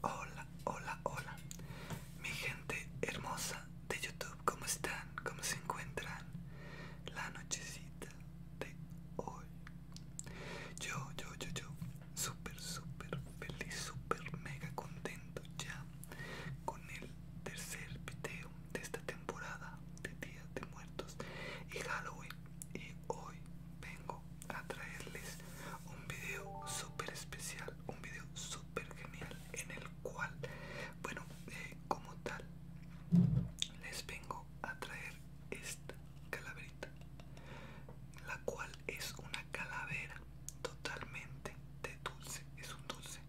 Hola, hola, hola. Mi gente hermosa de YouTube, ¿cómo están? ¿Cómo se encuentran? La nochecita de hoy. Yo, yo, yo, yo. Súper, súper feliz, súper mega contento ya con el tercer video de esta temporada de días de Muertos y Halloween y hoy vengo a traerles un video súper especial, un video súper genial en el cual, bueno, eh, como tal, les vengo a traer esta calaverita, la cual es una calavera totalmente de dulce, es un dulce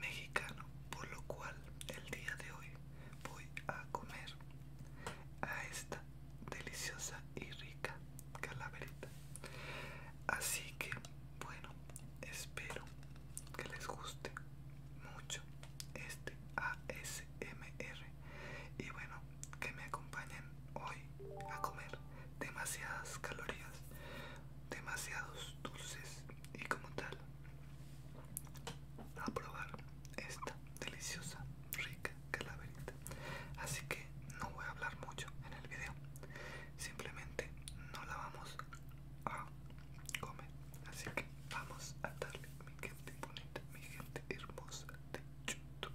mexicano, por lo cual el día de hoy voy a comer a esta deliciosa y rica así que bueno espero que les guste mucho este ASMR y bueno que me acompañen hoy a comer demasiadas calorías demasiados dulces y como tal a probar esta deliciosa, rica calaverita. Así que no voy a hablar mucho en el video. Simplemente no la vamos a comer. Así que vamos a darle mi gente bonita, mi gente hermosa de YouTube.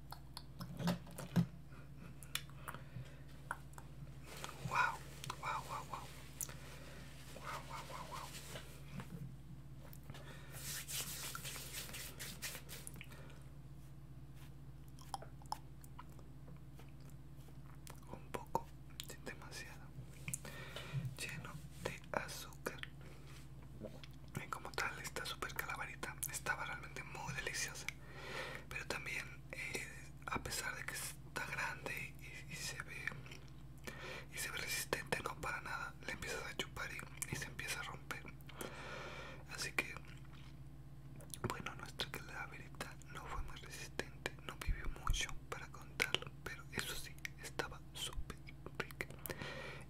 Wow, wow, wow, wow. Wow, wow, wow, Un poco, demasiado, lleno de azúcar como tal esta super calaverita estaba realmente muy deliciosa pero también eh, a pesar de que está grande y, se ve y se ve resistente no para nada le empiezas a chupar y, se empieza a romper así que bueno nuestra calaverita no fue muy resistente no vivió mucho para contarlo pero eso sí estaba súper rica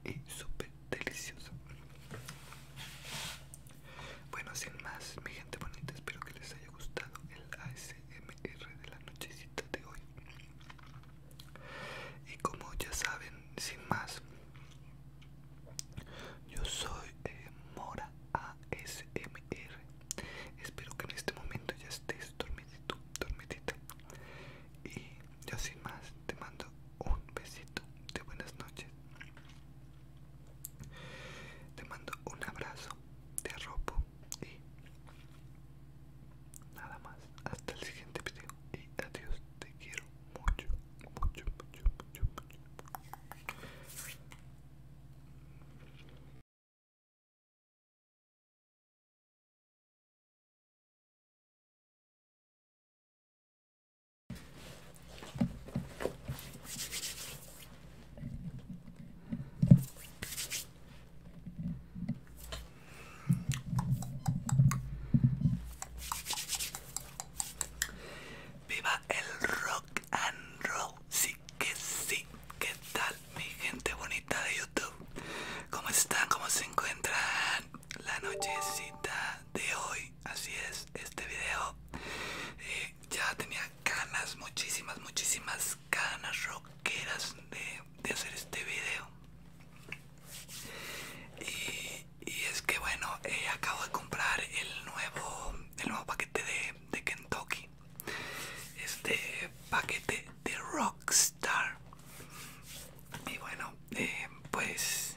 y super deliciosa bueno, sin más, mi gente bonita, espero que les haya gustado el ASMR de la nochecita de hoy. Y como ya saben, sin más, yo soy eh, Mora ASMR. Espero que en este momento ya estés dormidito, dormidita. Y yo sin más, te mando un besito de buenas noches. Te mando un abrazo, te arropo y nada más. Hasta el siguiente video y adiós. Te quiero mucho, mucho, mucho, mucho, mucho. Viva el rock and roll, sí que sí. ¿Qué tal mi gente bonita de YouTube? ¿Cómo están? ¿Cómo se encuentran? La nochecita de hoy así es este video eh, ya tenía ganas muchísimas muchísimas ganas rockeras de, hacer este video y, es que bueno eh, acabo de comprar el nuevo el nuevo paquete de, Kentucky este paquete de Rockstar y bueno eh, pues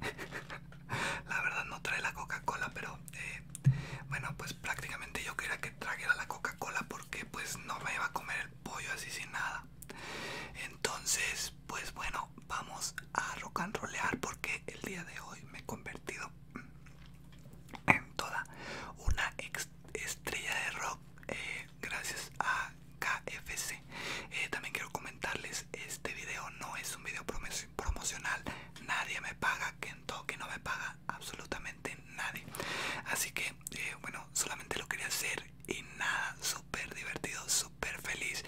la verdad no trae la Coca-Cola, pero eh, bueno, pues prácticamente yo quería que trajera la Coca-Cola porque pues no me iba a comer el pollo así sin nada. Entonces, pues bueno, vamos a rock and rollear porque el día de hoy me he convertido en toda una estrella de rock eh, gracias a KFC. Eh, también quiero comentarles, este video no es un video promocional promocional. Nadie me paga, que en que no me paga absolutamente nadie. Así que, eh, bueno, solamente lo quería hacer y nada, súper divertido, súper feliz.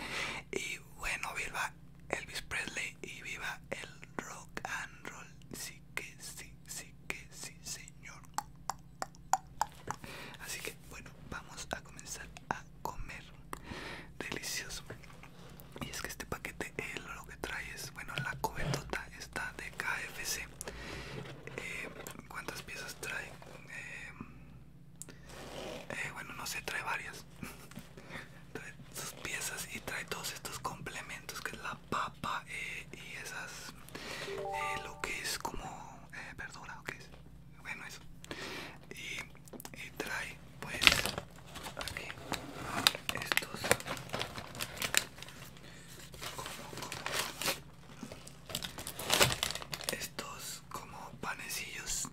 Y bueno, viva Elvis Presley y viva el rock and roll. Sí que sí, sí que sí, señor. Así que, bueno, vamos a comenzar a comer. Delicioso y es que este paquete eh, lo que trae es bueno la cobertota está de KFC eh, cuántas piezas trae eh, bueno no sé trae varias trae sus piezas y trae todos estos complementos que es la papa y esas lo que es como verdura o qué es bueno eso y y trae pues aquí estos como, estos como panecillos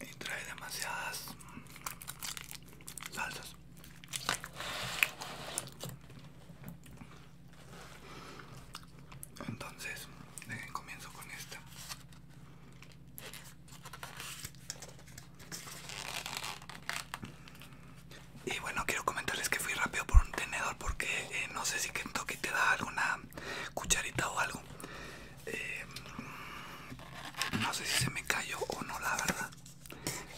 y trae demasiadas salsas entonces, dejen, comienzo con esta. Y bueno, quiero comentarles que fui rápido por un tenedor porque eh, no sé si toque te da alguna cucharita o algo. Eh, no sé si se me cayó o no, la verdad.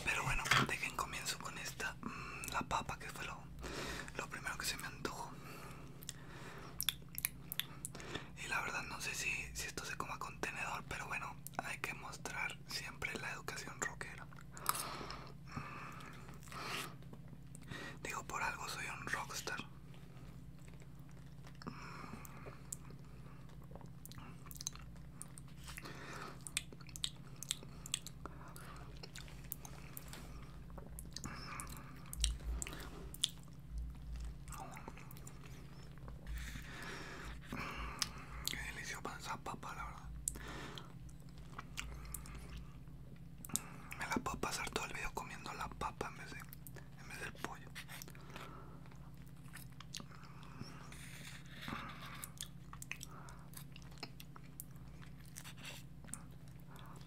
Pero bueno, dejen comienzo con esta, mm, la papa que fue lo, primero que se me antojo Y la verdad no sé si, esto se coma contenedor pero bueno, hay que mostrar siempre la educación rockera. Mm. Digo, por algo soy un rockstar. Qué delicioso para esa papa, la verdad. Me la puedo pasar todo el video comiendo la papa en vez del pollo.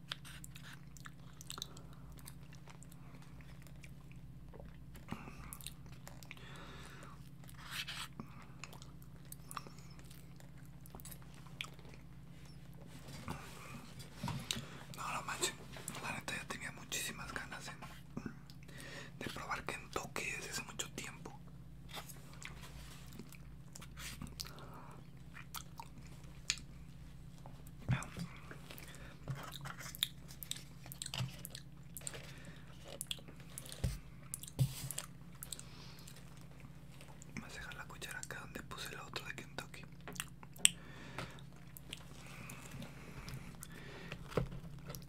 No, no manches, la neta ya tenía muchísimas ganas de probar Que toque desde hace mucho tiempo. Vamos a dejar la cuchara acá donde puse la otra de Kentucky.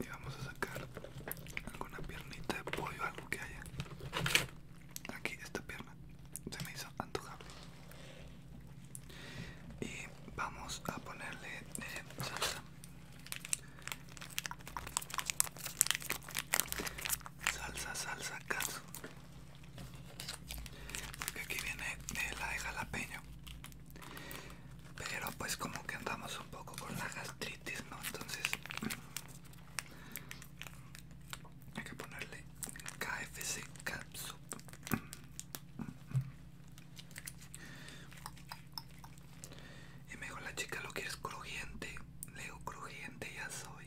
Y vamos a sacar alguna piernita de pollo, algo que haya. Aquí, esta pierna se me hizo antojable y vamos a ponerle eh, salsa salsa salsa caso porque aquí viene eh, la de jalapeño pero pues como que andamos un poco con la gastritis no entonces hay que ponerle KFC y me dijo la chica, ¿lo quieres crujiente? leo crujiente ya soy.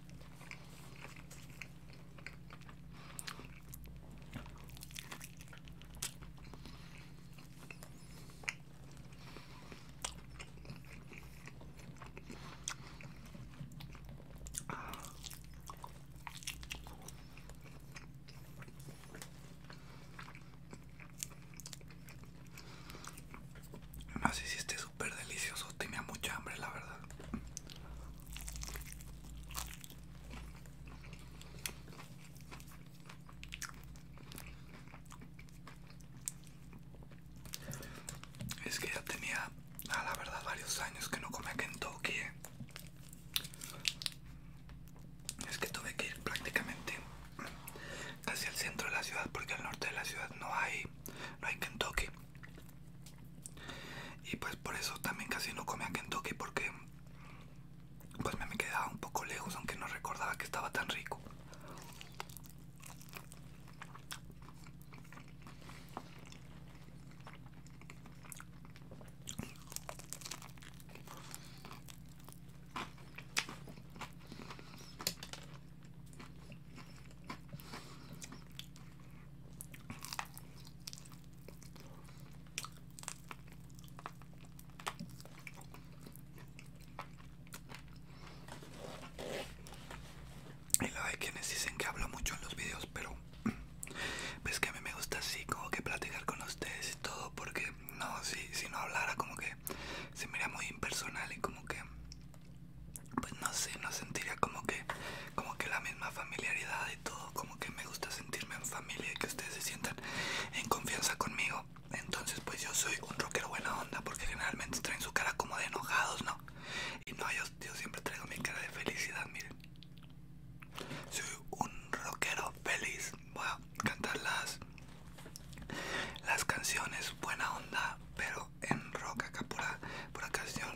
No sé si este es súper delicioso, tenía mucha hambre la verdad. Es que ya tenía, a ah, la verdad, varios años que no comía Kentucky. Eh. Es que tuve que ir prácticamente casi al centro de la ciudad porque al norte de la ciudad no hay, no hay Kentucky. Y pues por eso también casi no comía Kentucky porque pues me quedaba un poco lejos aunque no recordaba que estaba tan rico. Y la hay quienes dicen que hablo mucho en los videos, pero pues que a mí me gusta así como que platicar con ustedes y todo, porque no, si, si no hablara como que se mira muy impersonal y como que pues no sé, no sentiría como que como que la misma familiaridad y todo, como que me gusta sentirme en familia y que ustedes se sientan en confianza conmigo. Entonces, pues yo soy un rockero buena onda porque generalmente traen su cara como de enojados, ¿no? Y no, yo, siempre traigo mi cara de felicidad, miren. Soy un rockero feliz. Voy a cantar las, las canciones buena onda, pero en rock acá por pura canción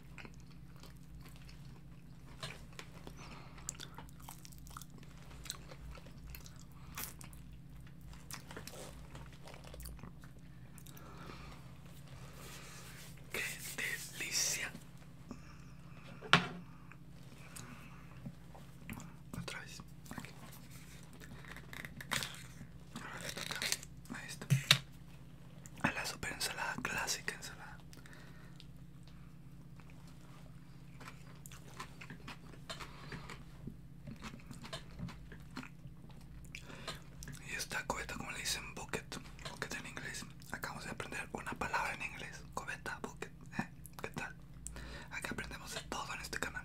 Qué delicia. Otra vez, aquí. a A la super ensalada clásica ensalada. Y esta coveta como le dicen bucket, bucket en inglés. Acabamos de aprender una palabra en inglés: Coveta, bucket. ¿eh? ¿Qué tal? Aquí aprendemos de todo en este canal.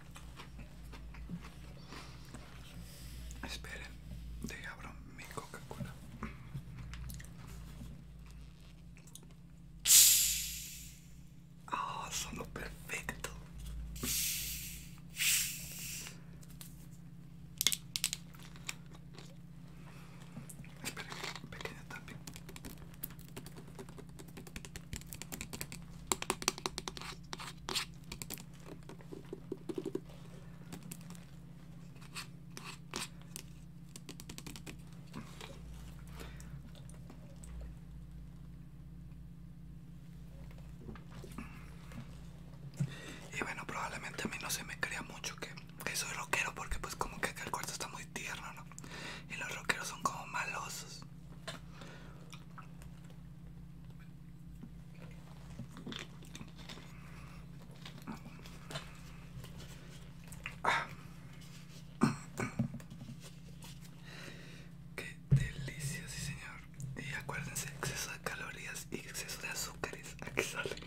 Esperen, de abro mi Coca-Cola. Ah, son solo perfecto. Esperen, pequeño también. Y bueno, probablemente a mí no se me crea mucho que, soy rockero porque pues como que acá el cuarto está muy tierno, ¿no? Y los rockeros son como malosos. Qué delicia, señor. Y acuérdense, exceso de calorías y exceso de azúcares. Aquí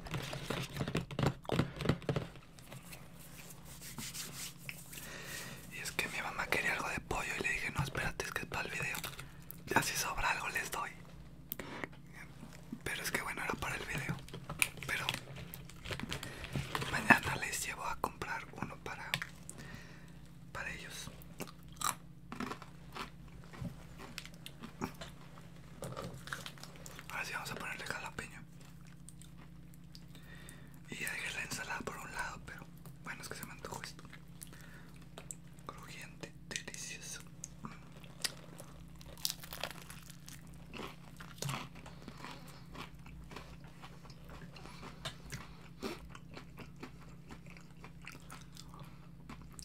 Y es que mi mamá quería algo de pollo y le dije, no, espérate, es que es para el video. Ya si sobra algo les doy. Pero es que bueno, era para el video. Pero mañana les llevo a comprar uno para, para ellos. Ahora sí vamos a ponerle jalapeño. Y ya dejé la ensalada por un lado, pero bueno, es que se me antojó esto. Crujiente, delicioso.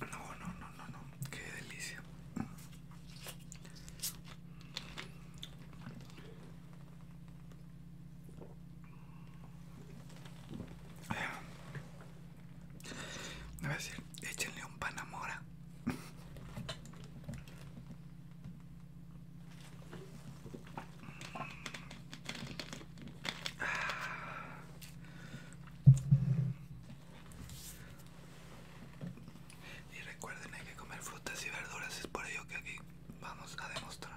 No, no, no, no, no. Qué delicia. Me a decir, échenle un panamora. Y recuerden, que comer frutas y verduras, es por ello que aquí vamos a demostrarlo.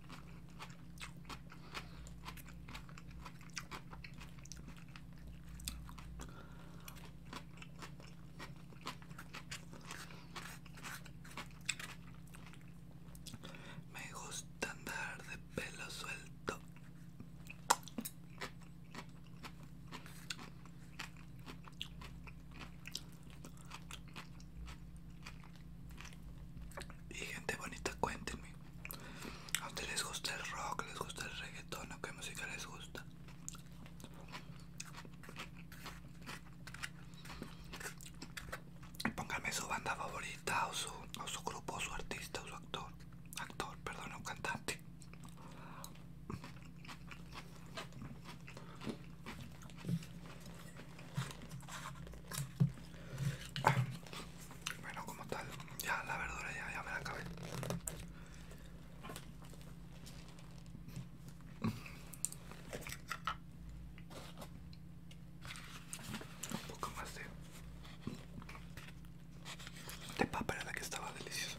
Me gusta andar de pelo suelto. Y gente bonita, cuéntenme. ¿A ustedes les gusta el rock? ¿Les gusta el reggaetón? ¿O qué música les gusta? Póngame su banda favorita o su, o su grupo, o su artista, o su actor. Actor, perdón, o cantante. Bueno, como tal, ya la verdura ya, me la acabé. Un poco más de, de papa la que estaba delicioso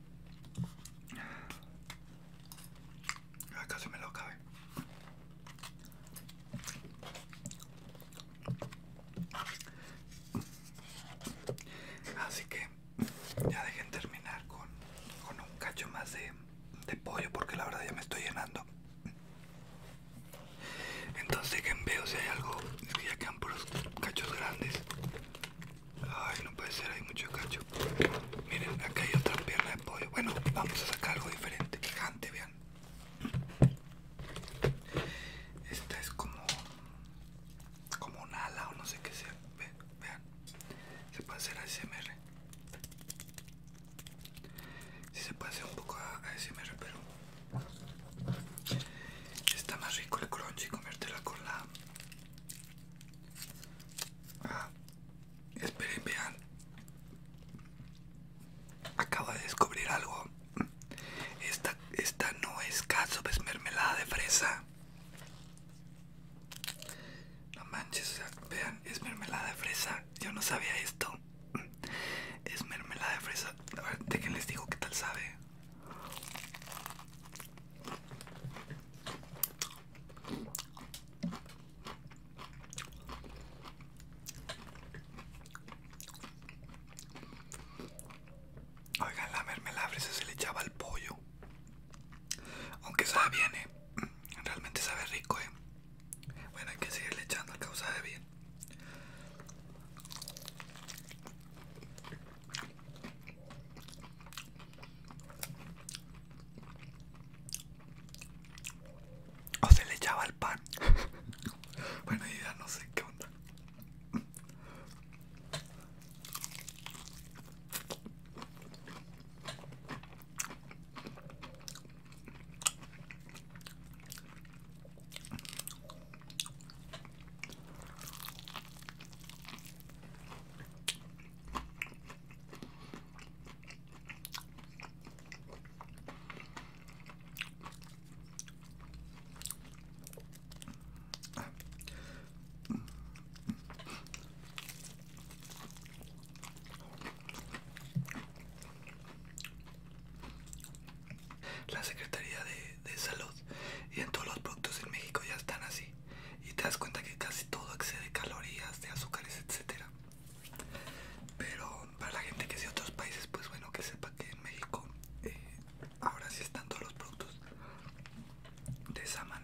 Acá casi me lo acabé. Así que ya dejen terminar con, con un cacho más de, de pollo porque la verdad ya me estoy llenando. Entonces veo veo si hay algo, que ya quedan cachos grandes. Ay, no puede ser, hay mucho cacho. Miren, acá hay otra pierna de pollo. Bueno, vamos a sacar algo diferente, gigante, vean. Esta es como como un ala o no sé qué sea. vean, se puede hacer ASMR. Sí se puede hacer un poco ASMR, pero está más rico el crunchy comértela con la Ah, esperen, vean. Acabo de descubrir algo. Esta, esta no es caso es mermelada de fresa. No manches, vean, es mermelada de fresa. Yo no sabía esto. Es mermelada de fresa. A ver, de les digo qué tal sabe. Oigan, la mermelada se le echaba al pollo. Aunque sabe bien, ¿eh? Realmente sabe rico, ¿eh? Bueno, hay que seguirle echando a causa de bien. O se le echaba el pan. bueno, ya no sé qué onda. La Secretaría de, de Salud y en todos los productos en México ya están así. Y te das cuenta que casi todo excede calorías, de azúcares, etcétera. Pero para la gente que es de otros países, pues bueno, que sepa que en México eh, ahora sí están todos los productos de esa manera.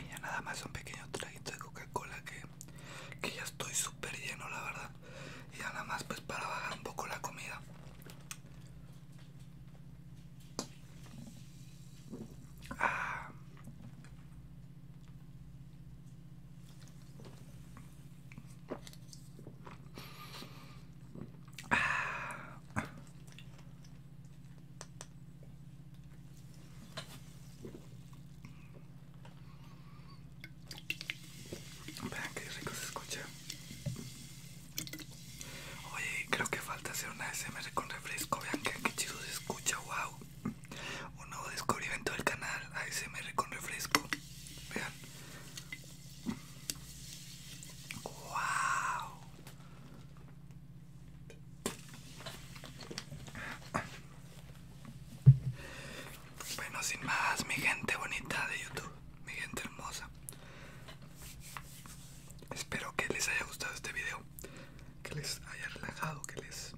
Y ya nada más un pequeño traguito de Coca-Cola que, ya estoy súper lleno, la verdad. Y nada más pues para bajar un poco la comida. Ah. Ah. Vean que rico se escucha. Oye, creo que falta hacer una ASMR con refresco. Vean que qué chido se escucha, wow. Un nuevo descubrimiento del canal ASMR con refresco. Vean, ¡Wow! Bueno, sin más, mi gente bonita de YouTube, mi gente hermosa. Espero que les haya gustado este video, que les haya relajado, que les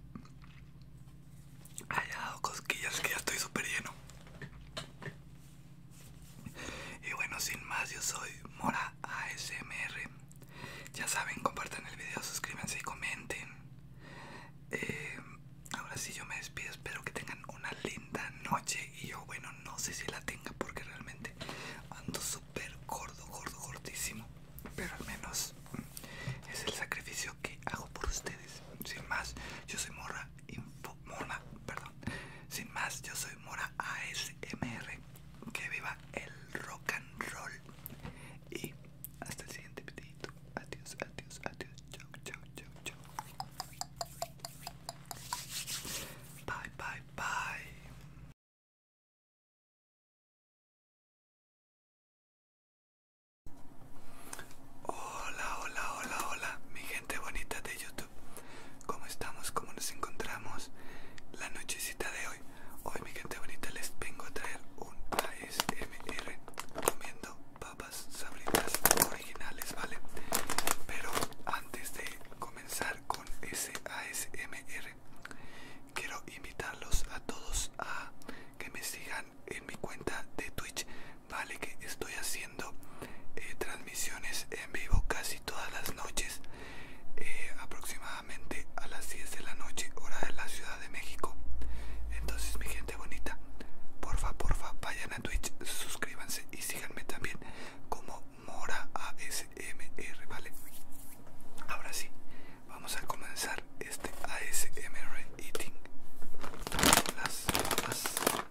haya dado cosquillas, que ya estoy súper lleno. Y bueno, sin más, yo soy Mora ASMR. Ya saben, compartan el video, suscríbanse y comenten. Eh, ahora sí, yo me despido. Espero que tengan una linda noche. Y yo, bueno, no sé si la tenga porque realmente ando súper gordo, gordo, gordísimo. Pero al menos es el sacrificio que hago por ustedes. Sin más, yo soy Morra Info. Mora, perdón. Sin más, yo soy Mora ASMR. Que viva el rock and roll. Y hasta el siguiente videito. Adiós, adiós, adiós. Chau, chau, chau, chau. Bye, bye, bye. Hola, hola, hola, hola, mi gente bonita de YouTube. ¿Cómo estamos? ¿Cómo nos encontramos? La nochecita de hoy. Hoy, mi gente bonita, les vengo a traer un ASMR comiendo papas sabritas originales, ¿vale? Pero antes de comenzar con ese ASMR, quiero invitarlos a todos a que me sigan en mi cuenta de Twitch, ¿vale? Que estoy haciendo eh, transmisiones en vivo casi todas las noches, eh, aproximadamente a las 10 de la noche, hora de la Ciudad de México. Entonces, mi gente bonita, porfa, porfa, vayan a Twitch, suscríbanse y síganme también como Mora ASMR, ¿vale? Ahora sí, vamos a comenzar este ASMR eating. Las, las.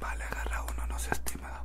Vale, agarra uno, no se estimado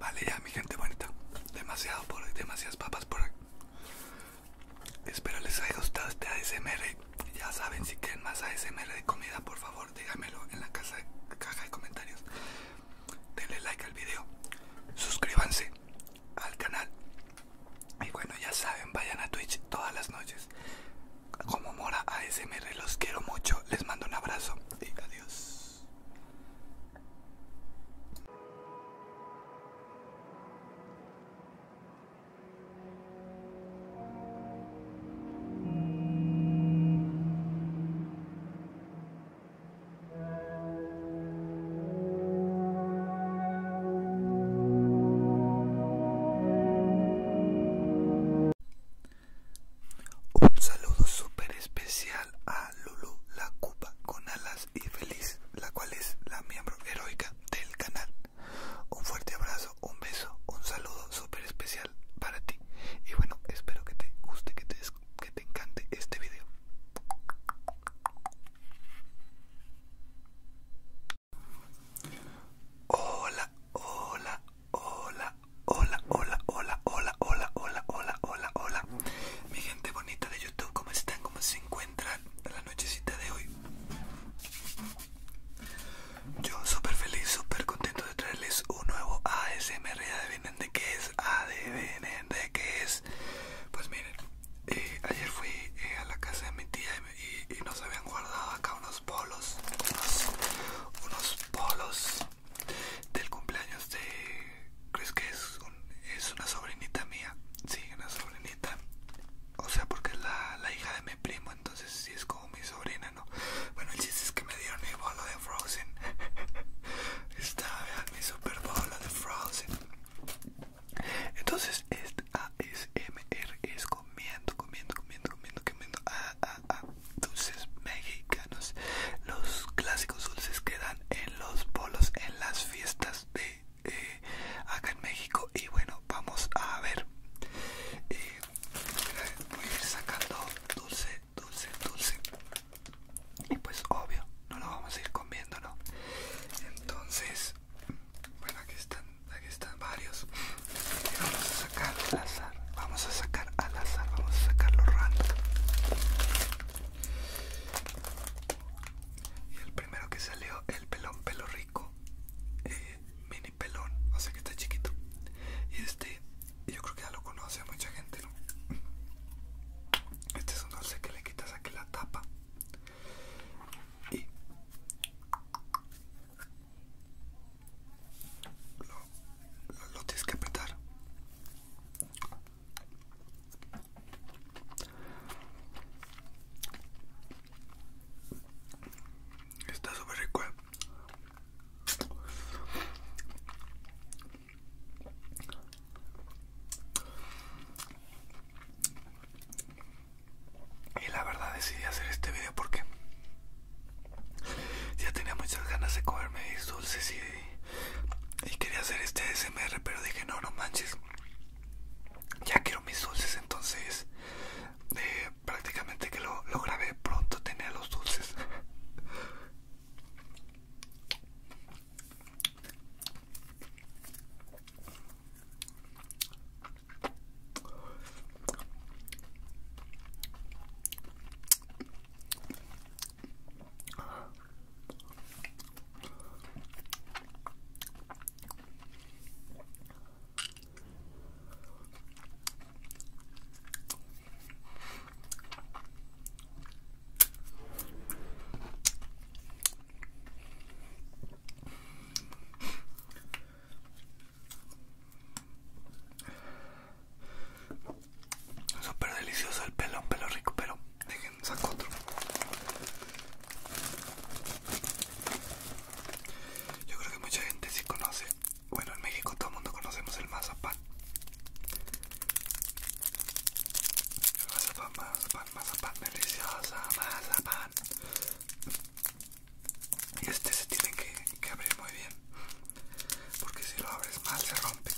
Vale ya mi gente bonita, demasiado por demasiadas papas por Espero les haya gustado este ASMR. Ya saben, si quieren más ASMR de comida, por favor, díganmelo en la caja de comentarios. Denle like al video, suscríbanse al canal. Y bueno, ya saben, vayan a Twitch todas las noches. Como Mora ASMR, los quiero mucho. Les mando un abrazo y adiós. Un saludo super especial a Lulu la Cuba con alas y Feliz, la cual es la miembro heroica del canal. Un fuerte abrazo, un beso, un saludo súper especial para ti. Y bueno, espero que te guste, que te, te encante este video. Hola, hola, hola, hola, hola, hola, hola, hola, hola, hola, hola, hola. Mi gente bonita de YouTube, ¿cómo están? ¿Cómo se encuentran? nochecita de hoy. Yo súper feliz, súper contento de traerles un nuevo ASMR ADVN de qué es, de qué es. Pues miren, eh, ayer fui eh, a la casa de mi tía y, nos habían guardado acá unos polos, unos, polos del cumpleaños de, Chris que es una sobrinita mía, sí, una sobrinita, o sea, porque es la, hija de mi primo, entonces sí es como mi sobrina, ¿no? Bueno, el chiste es que me dieron mi bolo de Frozen, está, vean, mi super bolo de Frozen. Entonces, este ASMR es comiendo, comiendo, comiendo, comiendo, comiendo, a, ah, ah, ah, dulces mexicanos, los clásicos dulces que dan en los bolos, en las fiestas de eh, acá en México y bueno vamos a ver eh, voy a ir sacando dulce dulce dulce y pues obvio no lo vamos a ir comiéndolo entonces bueno aquí están aquí están varios vamos a sacar al azar vamos a sacar al azar vamos a sacarlo random y el primero que salió, el pelón pelo rico, eh, mini pelón, o sea que está chiquito. Y este, yo creo que ya lo conoce mucha gente, ¿no? Este es un dulce que le quitas aquí la tapa. Y lo tienes que apretar Está súper rico. Eh. Y la verdad decidí hacer este video porque ya tenía muchas ganas de comerme dulces y, y quería hacer este SMR, pero dije no, no manches ya quiero mis dulces entonces eh, prácticamente que lo, lo grabé pronto tener los dulces Súper delicioso el pelo, un pelo rico, pero otro. Yo creo que mucha gente sí conoce. Bueno, en México todo el mundo conocemos el mazapán. Mazapán, mazapán, mazapán, deliciosa, mazapán. Y este se tiene que, que abrir muy bien. Porque si lo abres mal se rompe.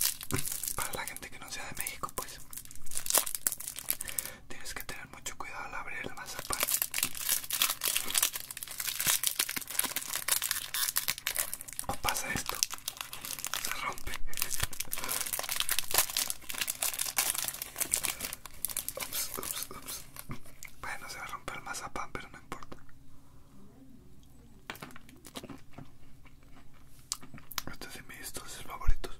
Para la gente que no sea de México, pues. Tienes que tener mucho cuidado al abrir el mazapán. O pasa esto. Se rompe. Ups, ups, ups. Bueno, se va a romper el mazapán, pero no importa. Estos son mis favoritos.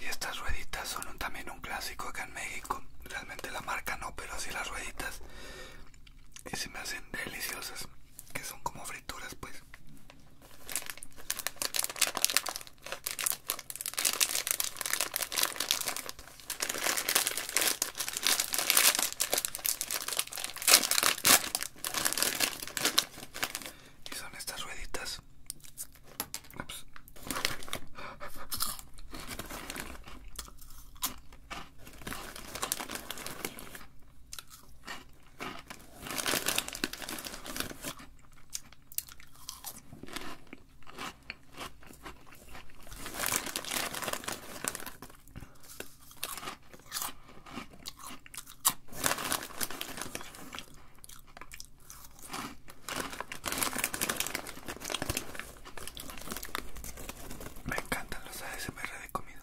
Y estas rueditas son también un clásico acá en México. Realmente la marca no, pero sí las rueditas. Y se me hacen deliciosas. Que son como frituras, pues y son estas rueditas me encantan los ASMR de comida.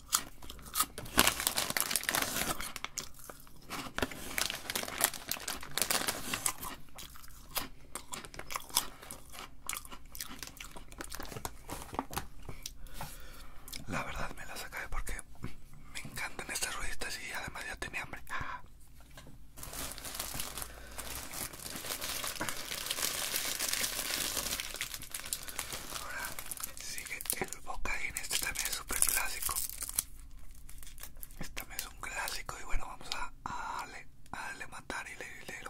La verdad me las saqué porque me encantan estas rueditas y además ya tenía hambre. Ahora sigue el en este también es súper clásico. Este también es un clásico y bueno, vamos a, darle, a darle matar y le hilero.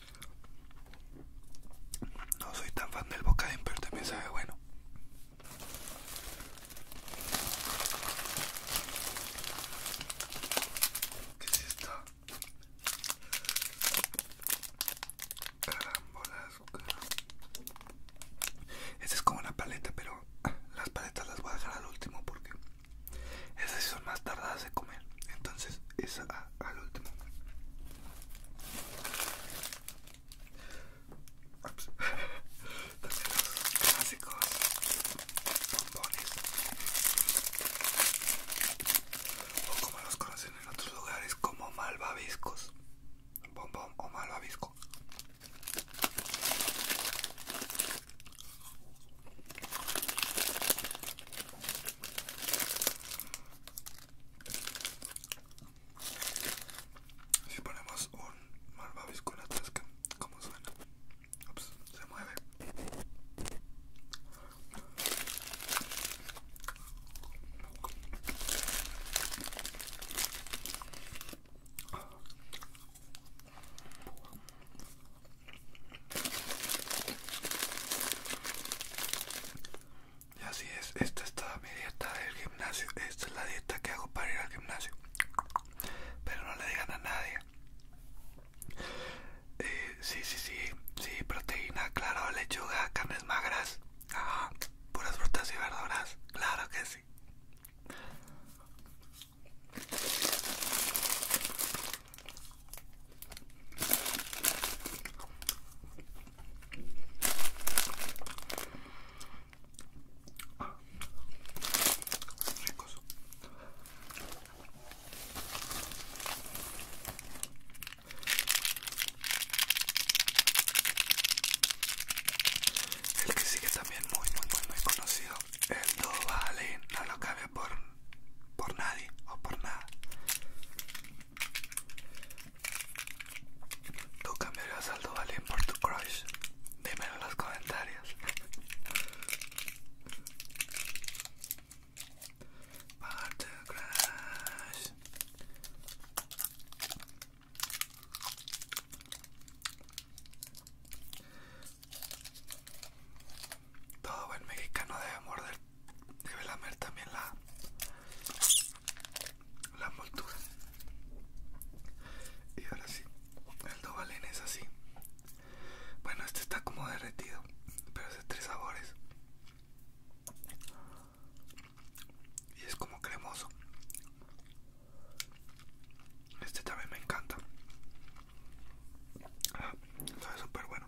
No soy tan fan del bocadín, pero también sabe bueno. ¿Qué es esto? azúcar Esta es como una paleta, pero ah, las paletas las voy a dejar al último porque esas son más tardadas de comer. Entonces, esa ah, al último. Ups. los clásicos bombones. O como los conocen en otros lugares, como malvaviscos. Bombón o malvavisco. Si ponemos un en con atrás, ¿cómo suena, Ups, se mueve. Y así es, esta es toda mi dieta del gimnasio. Esta es la dieta que hago para ir al gimnasio. Pero no le digan a nadie. Eh, sí, sí, sí, sí, proteína, claro, lechuga, carnes magras. puras frutas y verduras, claro que sí. El que sigue también muy muy muy conocido El Do no lo cabe por por nadie o por nada. Tu cambiarías al saldo por tu crush. Dímelo en los comentarios. Part crush. Todo buen mexicano debe morder debe lamer también la la moltura y ahora sí el Dovalen es así bueno este está como derretido pero es de tres sabores y es como cremoso este también me encanta ah, sabe súper bueno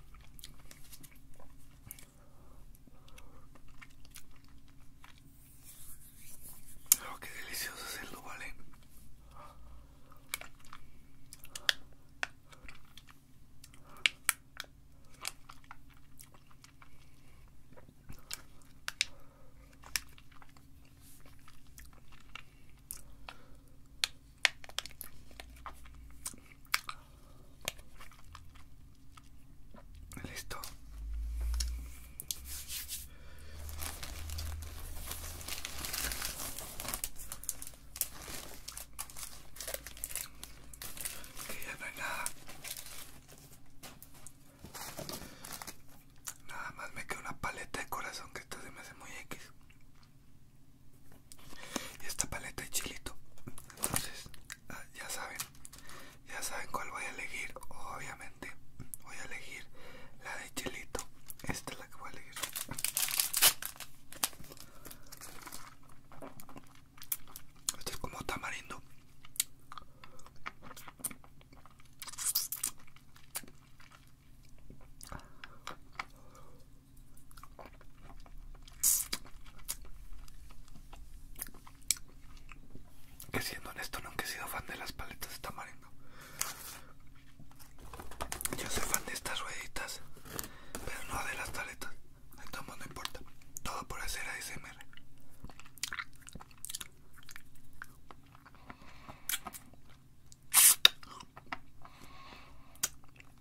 Oh, qué delicioso hacerlo, ¿vale? Eh. Listo. Que ya no hay nada. Nada más me queda una paleta de corazón que esto se me hace muy X y esta paleta de chilito entonces ah, ya saben ya saben cuál voy a elegir obviamente voy a elegir la de chilito esta es la que voy a elegir este es como tamarindo que siendo honesto nunca he sido fan de las paletas de tamarindo. Yo soy fan de estas rueditas, pero no de las paletas. Entonces no importa. Todo por hacer ASMR.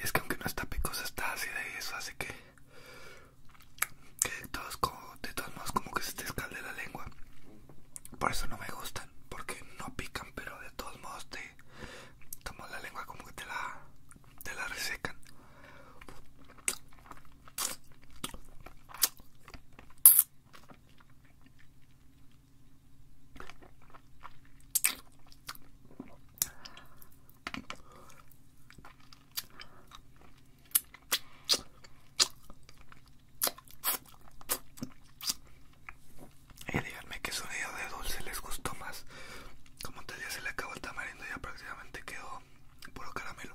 Es que aunque no está picosa, está así de eso hace que, de, todos modos como que se te escalde la lengua. Por eso no me gustan, porque no pican, pero de todos modos te tomas la lengua como que te la, te la resecan. Y díganme qué sonido de dulce les gustó más. Como tal ya se le acabó el tamarindo, ya prácticamente quedó puro caramelo.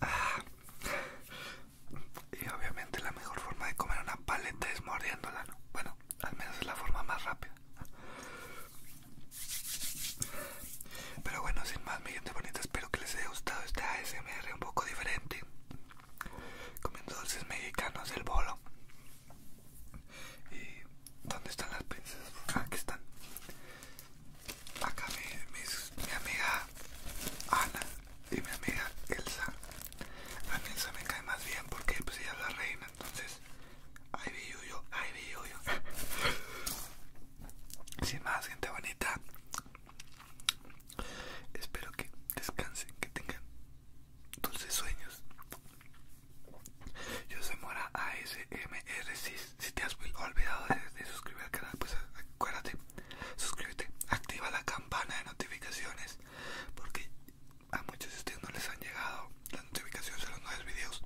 Ah. Y obviamente la mejor forma de comer una paleta es mordiéndola, ¿no? Bueno, al menos es la forma más rápida. Pero bueno, sin más, mi gente bonita, espero que les haya gustado este ASMR un poco diferente. Comiendo dulces mexicanos, el bolo y eh, ¿Dónde están las princesas? Ah, aquí están. Acá mi amiga Ana y mi amiga Elsa. A Elsa me cae más bien porque pues, ella es la reina, entonces... ahí vi yo, ay, vi yo. Sin más, gente bonita. Espero que descansen, que tengan dulces sueños. Yo soy Mora ASMR. Si, te has olvidado de, suscribirte suscribir al canal, pues acuérdate, suscríbete, activa la campana de notificaciones, porque a muchos de ustedes no les han llegado las notificaciones de los nuevos videos.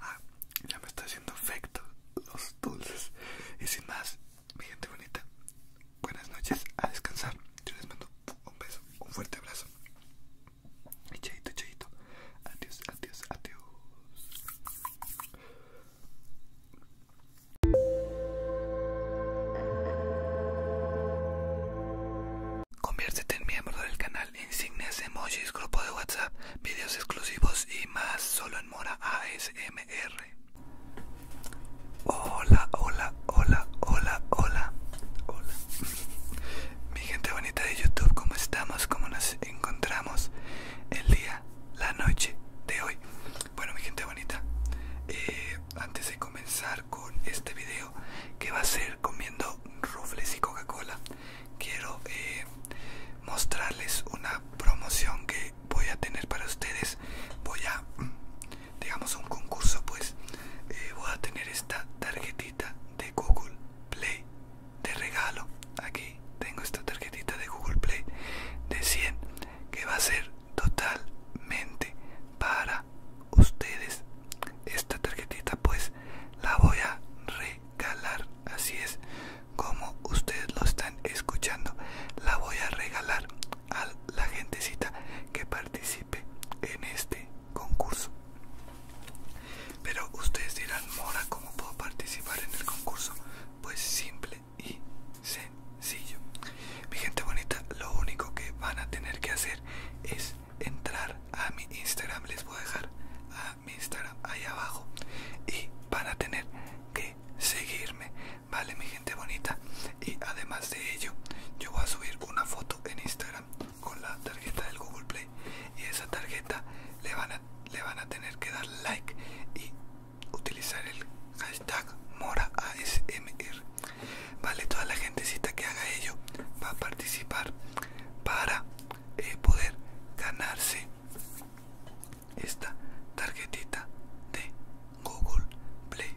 Ah, ya me está haciendo efecto los dulces. Y sin más, mi gente bonita, buenas noches, a descansar. Yo les mando un beso, un fuerte abrazo. Y chaito, Adiós, adiós, adiós. Conviértete en miembro del canal, insignias, emojis, grupo de WhatsApp, videos exclusivos y más solo en Mora ASMR. Hola, hola, hola, hola, hola, hola. Mi gente bonita de YouTube, ¿cómo estamos? ¿Cómo nos encontramos el día, la noche de hoy? Bueno, mi gente bonita, eh, antes de comenzar con este video que va a ser comiendo rufles y Coca-Cola, quiero eh, mostrarles una promoción que voy a tener para ustedes. Voy a digamos un concurso pues eh, voy a tener esta tarjetita de google play de regalo aquí tengo esta tarjetita de google play de 100 que va a ser totalmente para ustedes esta tarjetita pues la voy a regalar así es como ustedes lo están escuchando la voy a regalar a la gentecita que participe en este concurso. Pero ustedes dirán, Mora, ¿cómo puedo participar en el concurso? Pues simple y sencillo. Mi gente bonita, lo único que van a tener que hacer es entrar a mi Instagram. Les voy a dejar a mi Instagram ahí abajo y van a tener que seguirme. Vale, mi gente bonita y además de ello yo voy a subir una foto en Instagram con la tarjeta del Google Play y esa tarjeta le van a, le van a tener que dar like y utilizar el hashtag MoraASMR vale toda la gentecita que haga ello va a participar para eh, poder ganarse esta tarjetita de Google Play.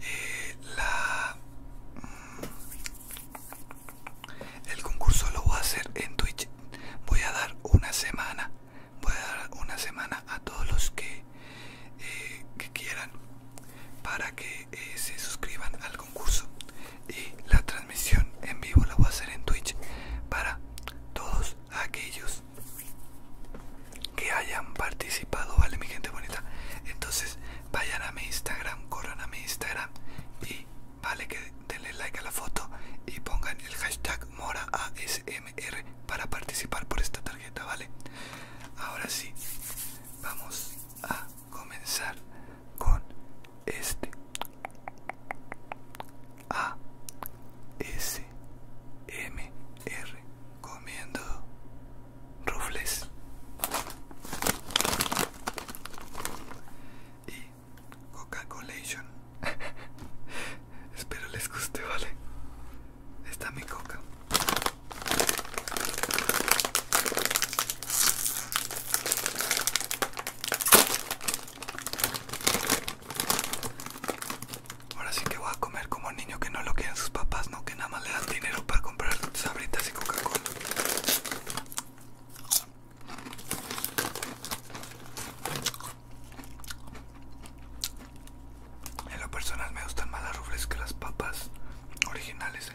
Eh, la, mm, el concurso lo voy a hacer en Twitch. Voy a dar una semana. Voy a dar una semana a todos los que, eh, que quieran para que eh, se suscriban al concurso. Y la transmisión en vivo la voy a hacer en Twitch para todos aquellos que hayan participado, vale mi gente bonita. Entonces vayan a mi Instagram, corran a mi Instagram y vale que denle like a la foto y pongan el hashtag Mora ASMR para participar por esta tarjeta, vale. Ahora sí, vamos a comenzar con este A comiendo rufles y coca Collation, espero les guste vale está mi coca Ahora sí que voy a comer como un niño que no lo quieren sus papás, ¿no? Que nada más le dan dinero para comprar sabritas y Coca-Cola. En lo personal me gustan más las rufles que las papas originales. ¿eh?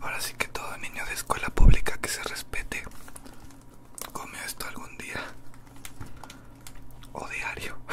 Ahora sí que todo niño de escuela pública que se respete come esto algún día o diario.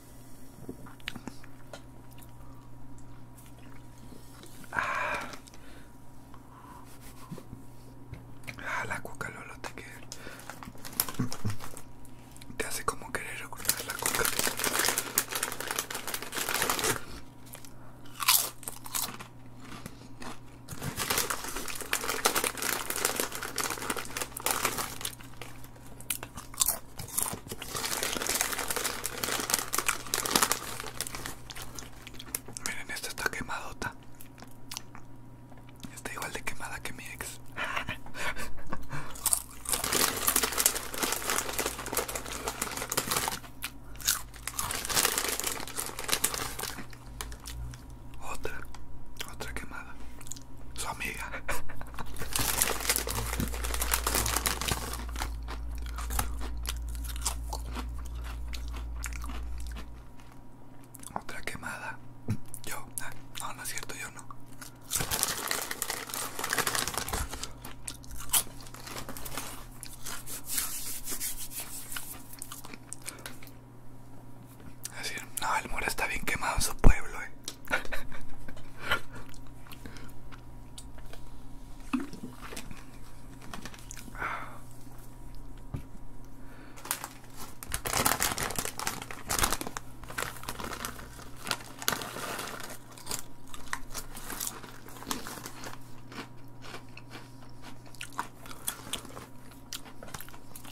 Ah, la coca Lolo te que te hace como querer ocultar la coca. Miren, esta está quemadota. Está igual de quemada que mi ex. Otra, otra quemada su amiga. Otra quemada. Yo, ah, no, no es cierto, yo no no, el muro está bien quemado en su pueblo, eh.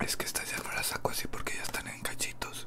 Es que esta ya no la saco así porque ya están en cachitos.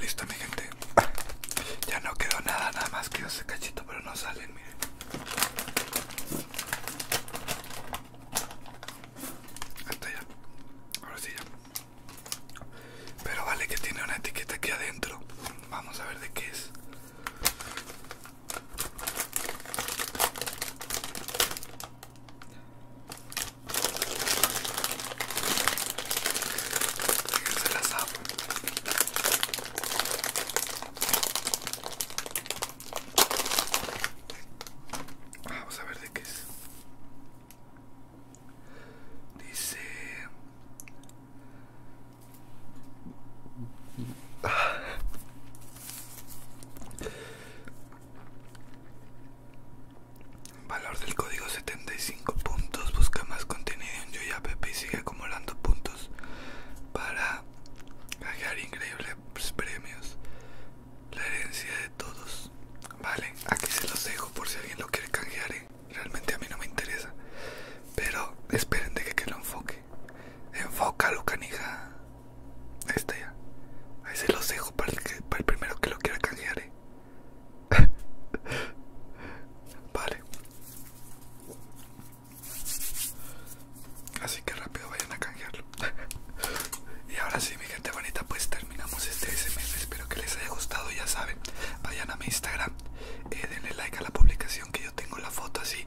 Listo, mi gente. Ya no quedó nada, nada más quedó ese cachito, pero no salen, miren ya. sí Pero vale que tiene una etiqueta aquí adentro. Vamos a ver de qué es. Vamos a ver de qué es. Dice... Ah. Valor del código 75 puntos. Busca más contenido en Pepe y sigue acumulando puntos para ganar increíbles premios la herencia de todos. Vale, aquí se los dejo por si alguien lo quiere canjear. ¿eh? Realmente a mí no me interesa. Pero esperen de que, lo enfoque. Enfócalo, canija. Ahí está ya. Ahí se los dejo para el, para el primero que lo quiera canjear. ¿eh? vale. Así que rápido vayan a canjearlo. y ahora sí, mi gente bonita, pues terminamos este SMS. Espero que les haya gustado, ya saben. Vayan a mi Instagram, eh, denle like a la publicación que yo tengo la foto así.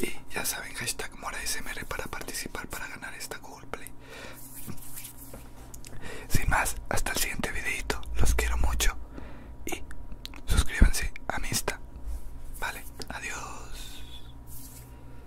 Y ya saben, hashtag smr para participar, para ganar esta Google Sin más, hasta el siguiente videito. Los quiero mucho. Y suscríbanse a mi Insta. Vale, adiós.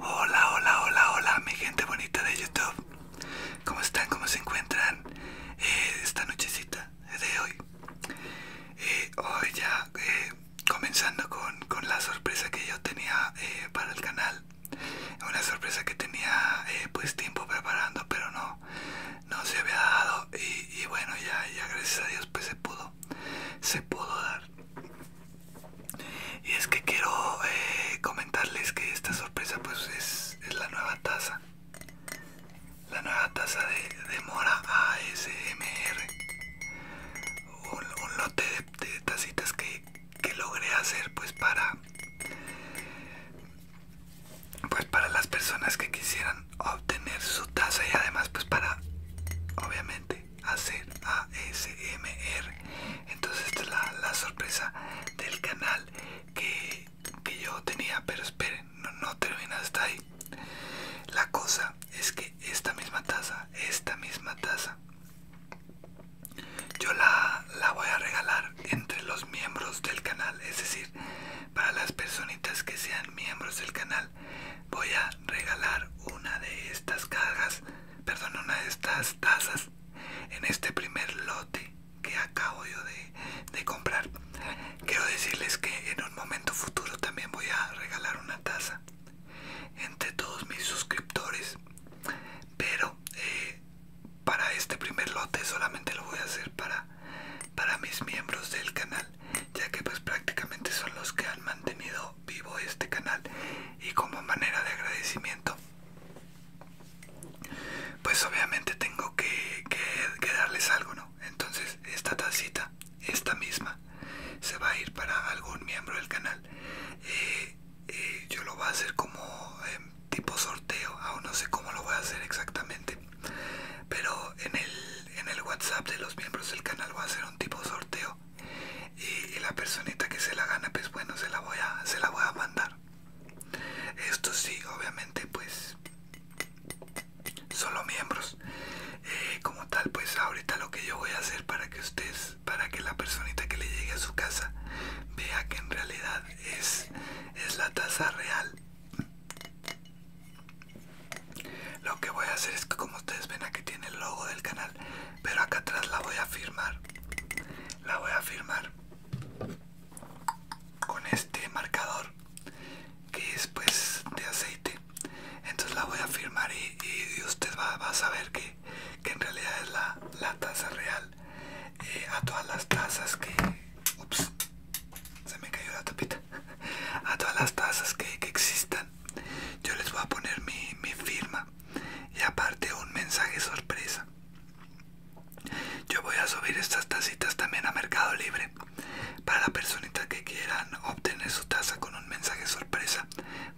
Hola, hola, hola, hola, mi gente bonita de YouTube. ¿Cómo están? ¿Cómo se encuentran eh, esta nochecita de hoy? Eh, hoy ya eh, comenzando con, la sorpresa que yo tenía para el canal. Una sorpresa que tenía pues tiempo preparando, pero no, no se había dado. Y, y bueno, ya, ya gracias a Dios pues se pudo, se pudo dar. Y es que quiero eh, comentarles que esta sorpresa pues es, la nueva taza. La nueva taza de, Mora ASMR. Un, un lote de, tazitas tacitas que, que logré hacer pues para... Pues para las personas que quisieran obtener su taza y además pues para obviamente hacer ASMR. Entonces esta es la, sorpresa del canal que, yo tenía. Pero esperen, no, termina hasta ahí. La cosa es que esta misma taza, esta misma taza, yo la, la voy a regalar entre los miembros del canal. Es decir, para las personitas que sean miembros del canal, voy a regalar una de estas cajas perdón, una de estas tazas en este primer lote que acabo yo de, comprar. Quiero decirles que en un momento futuro también voy a regalar una taza entre todos mis suscriptores, pero eh, para este primer lote solamente lo voy a hacer para, para mis miembros del canal, ya que pues prácticamente son los que han mantenido vivo este canal y como manera de agradecimiento pues obviamente tengo que, que, darles algo no entonces esta tacita esta misma se va a ir para algún miembro del canal eh, eh, yo lo voy a hacer como em, tipo sorteo aún no sé cómo lo voy a hacer exactamente pero en el en el whatsapp de los miembros del canal voy a hacer un tipo sorteo y, la personita que se la gana pues bueno se la voy a se la voy a mandar esto sí obviamente pues solo miembros eh, como tal pues ahorita lo que yo voy a hacer para que ustedes para que la personita que le llegue a su casa vea que en realidad es es la tasa real lo que voy a hacer es que como ustedes ven aquí tiene el logo del canal pero acá atrás la voy a firmar. La voy a firmar con este marcador que es pues de aceite. Entonces la voy a firmar y, usted va, a saber que, que en realidad es la, la taza real. Eh, a todas las tazas que... Ups, se me cayó la tapita. A todas las tazas que, existan yo les voy a poner mi firma y aparte un mensaje sorpresa. Yo voy a subir estas tacitas también a Mercado Libre. Para la personitas que quieran obtener su taza con un mensaje sorpresa,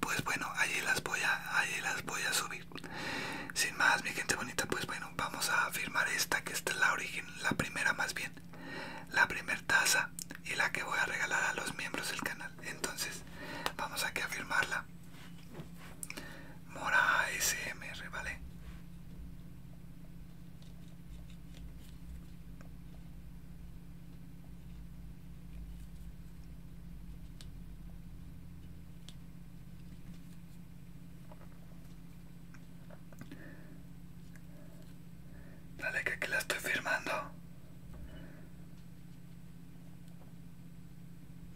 pues bueno, allí las voy a, allí las voy a subir. Sin más, mi gente bonita, pues bueno, vamos a firmar esta, que esta es la origen, la primera más bien. La primera taza y la que voy a regalar a los miembros del canal. Entonces, vamos aquí a firmarla. Mora ASMR, ¿vale? Dale que aquí la estoy firmando.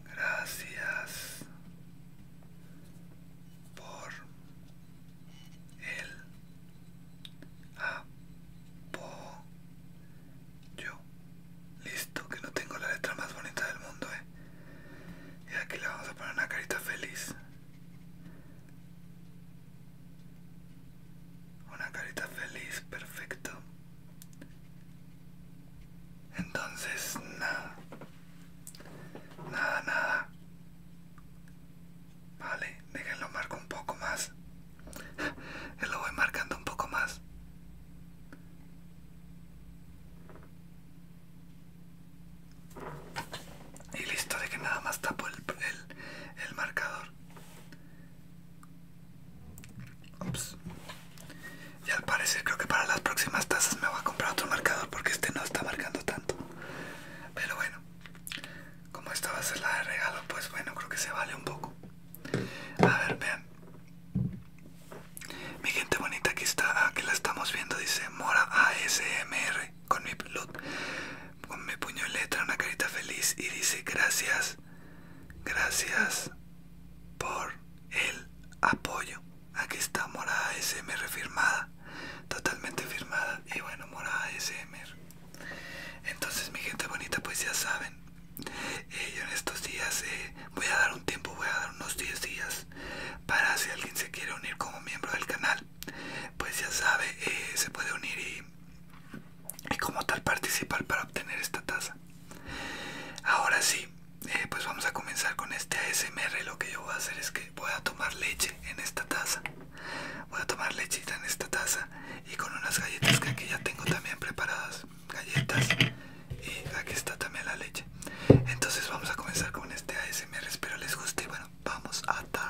Gracias por el apoyo. Listo, que no tengo la letra más bonita del mundo, eh. Y aquí le vamos a poner una carita feliz. Una carita feliz, perfecto. Entonces, nada. Nada, nada. Vale, déjenlo marco un poco más. lo voy marcando un poco más. Y listo, de que nada más tapo el, el marcador. Y al parecer creo que para las próximas tazas me voy a comprar otro marcador porque este no está marcando tanto. Pero bueno, como esta va a ser la de regalo, pues bueno, creo que se vale un poco. A ver, vean. Mi gente bonita que está, que la estamos viendo, dice Mora ASMR con mi loot, con mi puño letra, una carita feliz y dice gracias, gracias por el apoyo. Aquí está morada SMR firmada, totalmente firmada y bueno, morada SMR. Entonces mi gente bonita, pues ya saben, eh, yo en estos días eh, voy a dar un tiempo, voy a dar unos 10 días para si alguien se quiere unir como miembro del canal, pues ya sabe, eh, se puede unir y, como tal participar para obtener esta tasa Ahora sí, eh, pues vamos a comenzar con este ASMR. Lo que yo voy a hacer es que voy a tomar leche en esta taza. Voy a tomar lechita en esta taza y con unas galletas que aquí ya tengo también preparadas. Galletas y aquí está también la leche. Entonces vamos a comenzar con este ASMR. Espero les guste. Bueno, vamos a tal.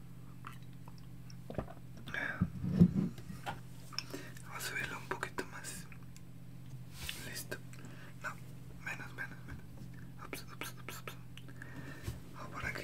Vamos a subirlo un poquito más. Listo. No, menos, menos, menos. Ups, por aquí.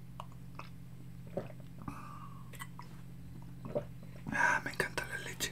Ah, me encanta la leche.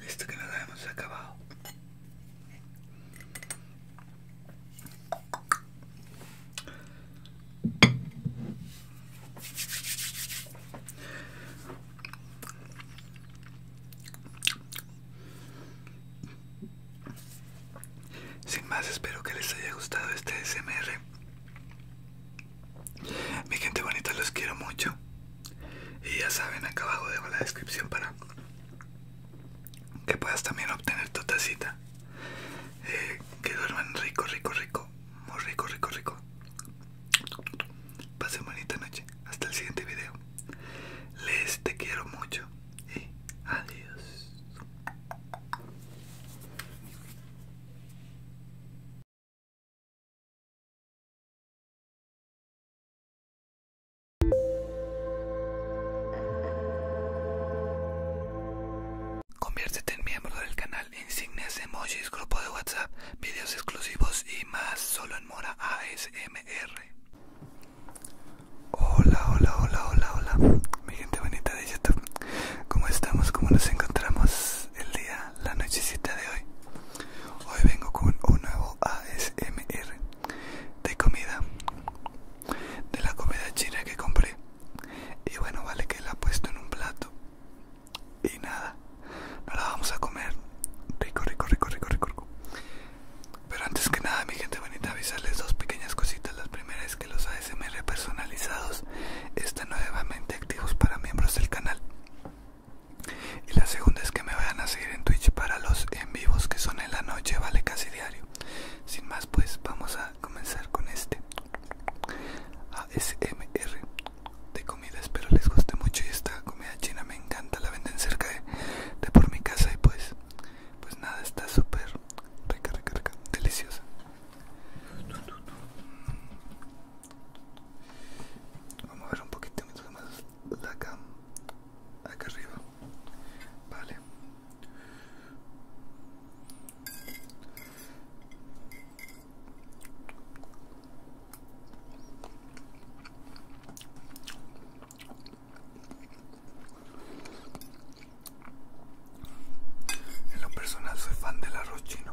Listo que nos hemos acabado. Sin más, espero que les haya gustado este SMR. Mi gente bonita, los quiero mucho. Y ya saben, acá abajo debo la descripción para que puedas también obtener tu tacita. Eh, que duerman rico, rico, rico. Muy rico, rico, rico. Pase bonita noche. Hasta el siguiente video. Les te quiero mucho. Y adiós. Conviértete en miembro del canal Insignias Emojis, grupo de WhatsApp, videos exclusivos y más solo Mora ASMR. Hola, hola, hola, hola, hola. Mi gente bonita de YouTube. ¿Cómo estamos? ¿Cómo nos encontramos el día, la nochecita de hoy? Hoy vengo con un nuevo ASMR de comida. De la comida china que compré. Y bueno, vale que la he puesto en un plato. Y nada, Ahora vamos a comer. Rico, rico, rico, rico, rico, rico. Pero antes que nada, mi gente bonita, avisarles dos pequeñas cositas. La primera es que los ASMR personalizados están nuevamente activos para miembros del canal. Y la segunda es que me vayan a seguir en Twitch para los en vivos que son en la noche, vale casi diario. Sin más, pues vamos a comenzar con este ASMR de comida espero les guste mucho y esta comida china me encanta la venden cerca de, por mi casa y pues pues nada está súper rica rica rica deliciosa mm. vamos a ver un poquito más la acá arriba vale en lo personal soy fan del arroz chino.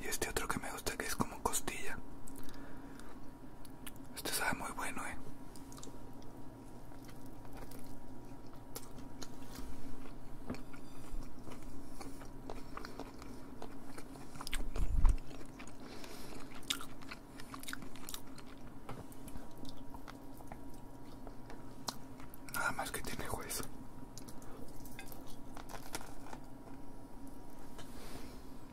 Y este otro que me gusta que es como costilla, esto sabe muy bueno, eh. Nada más que tiene hueso.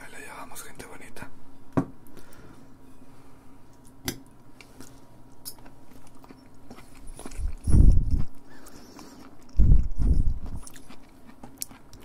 Ahí la llevamos, gente bonita.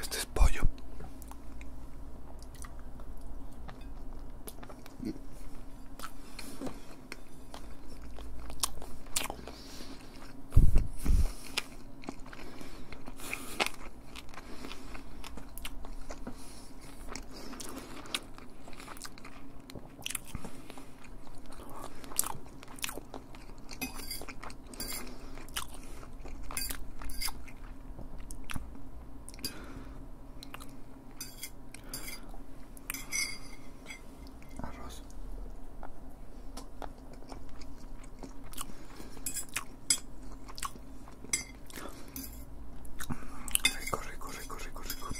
Este es pollo. Corre, corre, corre, corre, corre.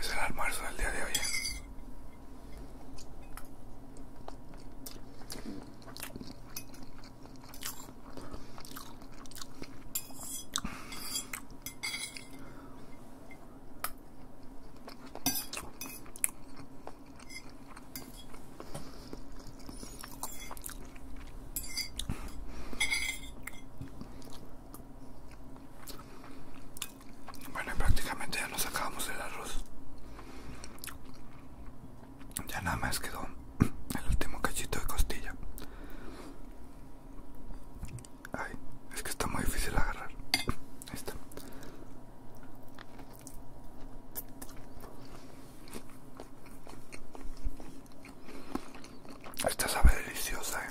Es el almuerzo del día de hoy. ¿eh? Bueno, prácticamente ya nos acabamos el arroz. Ya nada más quedó el último cachito de costilla. Ay, es que está muy difícil agarrar. Esta sabe deliciosa, eh.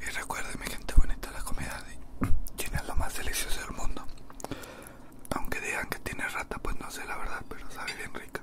Y recuerden mi gente bonita, la comida de China es lo más delicioso del mundo. Aunque digan que tiene rata, pues no sé la verdad, pero sabe bien rica.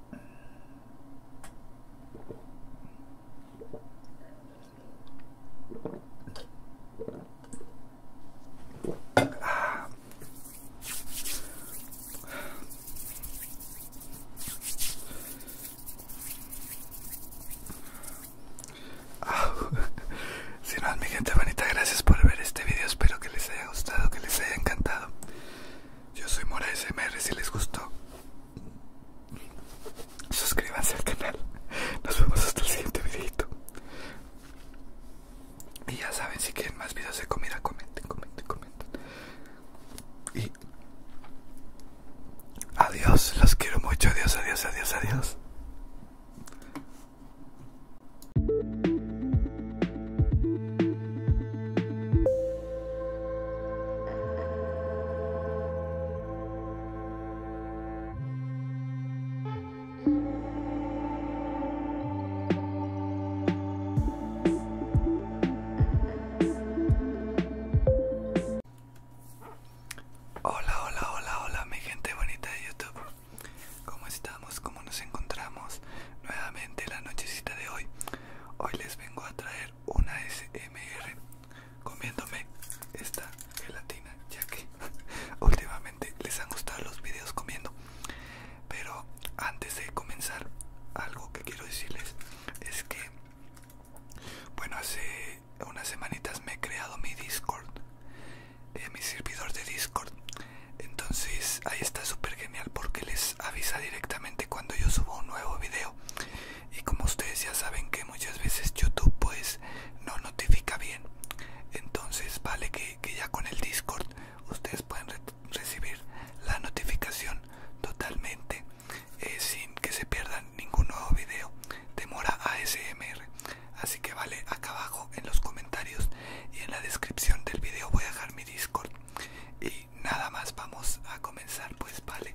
Si no, mi gente bonita, gracias por ver este video. Espero que les haya gustado, que les haya encantado. Yo soy Mora si les gustó. Suscríbanse al canal. Nos vemos hasta el siguiente videito. Y ya saben, si quieren más videos de comida, comenten, comenten, comenten. Y adiós, los quiero mucho. Adiós, adiós, adiós, adiós. Hola, hola, hola, hola mi gente bonita de YouTube. ¿Cómo estamos? ¿Cómo nos encontramos? nuevamente la nochecita de hoy. Hoy les vengo a traer una SMR comiéndome esta gelatina, ya que últimamente les han gustado los videos comiendo. Pero antes de comenzar, algo que quiero decirles es que, bueno, hace unas semanitas me he creado mi Discord, eh, mi servidor de Discord entonces ahí está súper genial porque les avisa directamente cuando yo subo un nuevo video y como ustedes ya saben que muchas veces youtube pues no notifica bien entonces vale que, ya con el discord ustedes pueden recibir la notificación totalmente eh, sin que se pierdan ningún nuevo video Demora Mora ASMR así que vale acá abajo en los comentarios y en la descripción del video voy a dejar mi discord y nada más vamos a comenzar pues vale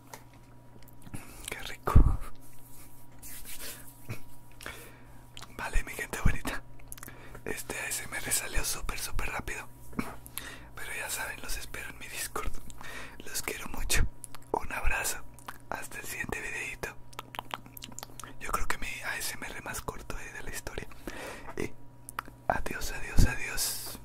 Qué rico. Vale, mi gente bonita. Este ASMR salió súper, súper rápido. Pero ya saben, los espero en mi Discord. Los quiero mucho. Un abrazo. Hasta el siguiente videito. Yo creo que mi ASMR más corto eh, de la historia. Y adiós, adiós, adiós.